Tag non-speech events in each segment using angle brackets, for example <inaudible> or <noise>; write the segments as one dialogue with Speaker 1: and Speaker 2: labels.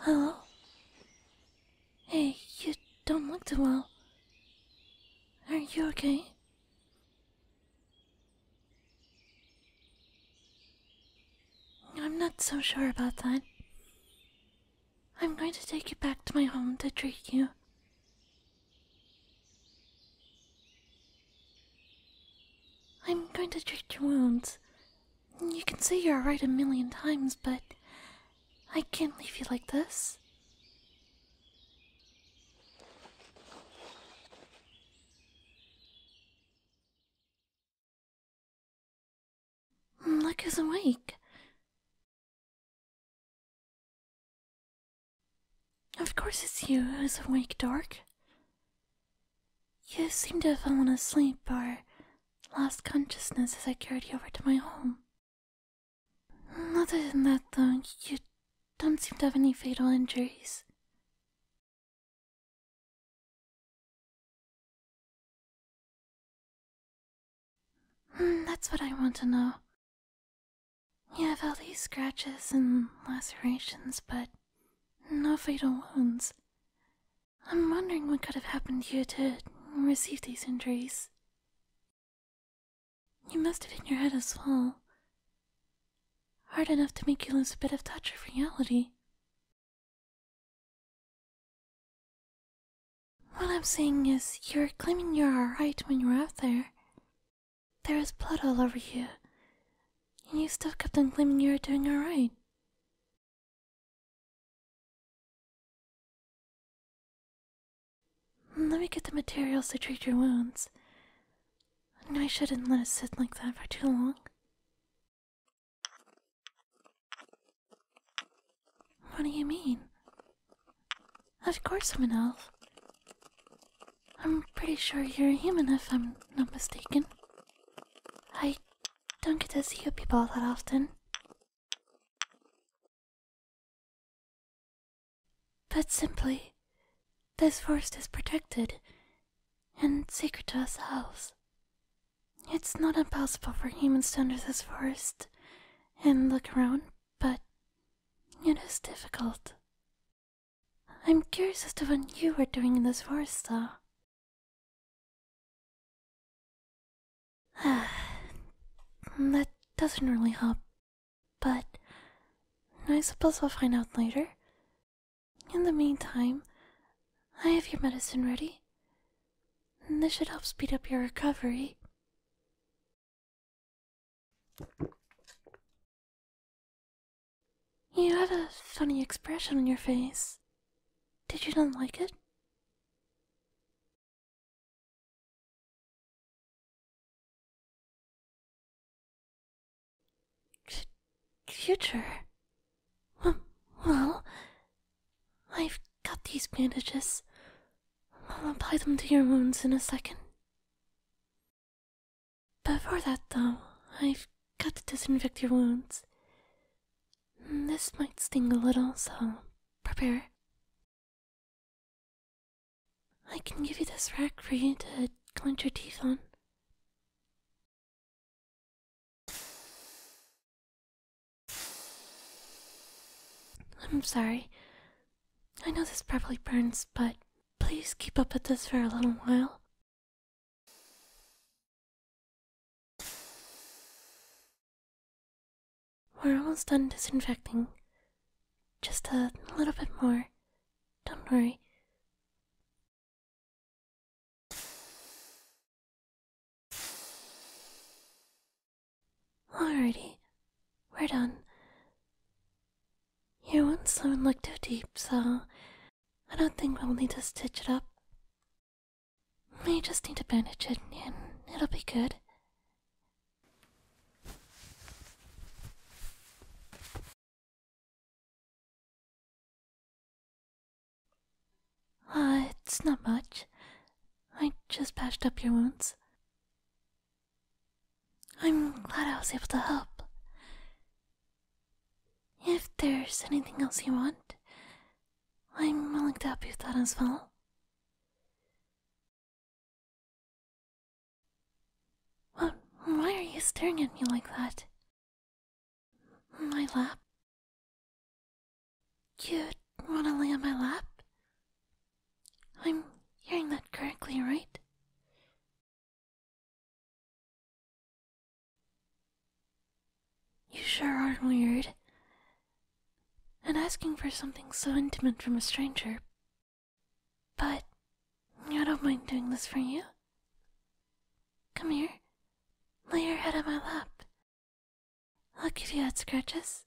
Speaker 1: Hello? Hey, you don't look too well. Are you okay? I'm not so sure about that. I'm going to take you back to my home to treat you. I'm going to treat your wounds. You can say you're right a million times, but I can't leave you like this.
Speaker 2: Hmm, look who's awake. Of course it's you who's awake, Dork.
Speaker 1: You seem to have fallen asleep or lost consciousness as I carried
Speaker 2: you over to my home. Hmm, other than that, though, you don't seem to have any fatal injuries. <sighs> that's what I want to know. You have all these scratches and lacerations,
Speaker 1: but no fatal wounds. I'm wondering what could have happened to you to receive these injuries. You must have hit your
Speaker 2: head as well. Hard enough to make you lose a bit of touch of reality. What I'm saying is, you're claiming you're alright when you are out there. There is blood all over you, and you still kept on claiming you are doing alright. Let me get the materials to treat your wounds. I shouldn't let it sit like that for too
Speaker 1: long. What do you mean? Of course I'm an elf. I'm pretty sure you're a human if I'm not mistaken. I
Speaker 2: don't get to see you people that often. But simply, this forest is protected
Speaker 1: and sacred to us elves. It's not impossible for humans to enter this forest and look around, but it is
Speaker 2: difficult. I'm curious as to what you were doing in this forest, though. Ah, that doesn't really help, but I suppose we'll find out
Speaker 1: later. In the meantime, I have your medicine ready,
Speaker 2: this should help speed up your recovery. You have a funny expression on your face. Did you not like it? C
Speaker 1: well, I've got these bandages. I'll apply them to your wounds in a second. But Before that, though,
Speaker 2: I've got to disinfect your wounds. Mm, this might sting a little, so prepare. I can give you this rag for you to clench your teeth on.
Speaker 1: I'm sorry. I know this probably burns, but please keep up with this for a
Speaker 2: little while. We're almost done disinfecting. Just a little bit more. Don't worry. Alrighty, we're done. Your one
Speaker 1: doesn't look too deep, so I don't think we'll need to stitch it up.
Speaker 2: We just need to bandage it and it'll be good. Uh, it's not much. I just patched up your wounds. I'm
Speaker 1: glad I was able to help. If there's anything else you
Speaker 2: want, I'm willing to help you with that as well. Well, why are you staring at me like that? My lap. you want to lay on my lap? I'm hearing that correctly, right? You sure are weird. And asking
Speaker 1: for something so intimate from a stranger. But I don't mind
Speaker 2: doing this for you. Come here. Lay your head on my lap Look at you at scratches.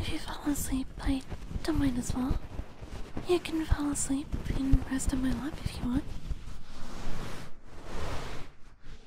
Speaker 1: If you fall asleep, I don't mind as well. You can fall asleep and rest on my lap if you want.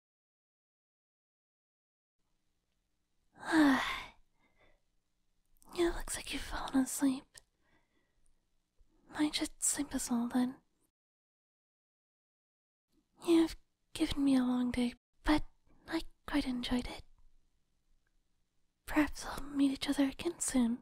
Speaker 2: <sighs> you look like you've fallen
Speaker 1: asleep. Might just sleep us all then. You've given me a long day, but I quite enjoyed it.
Speaker 2: Perhaps we'll meet each other again soon.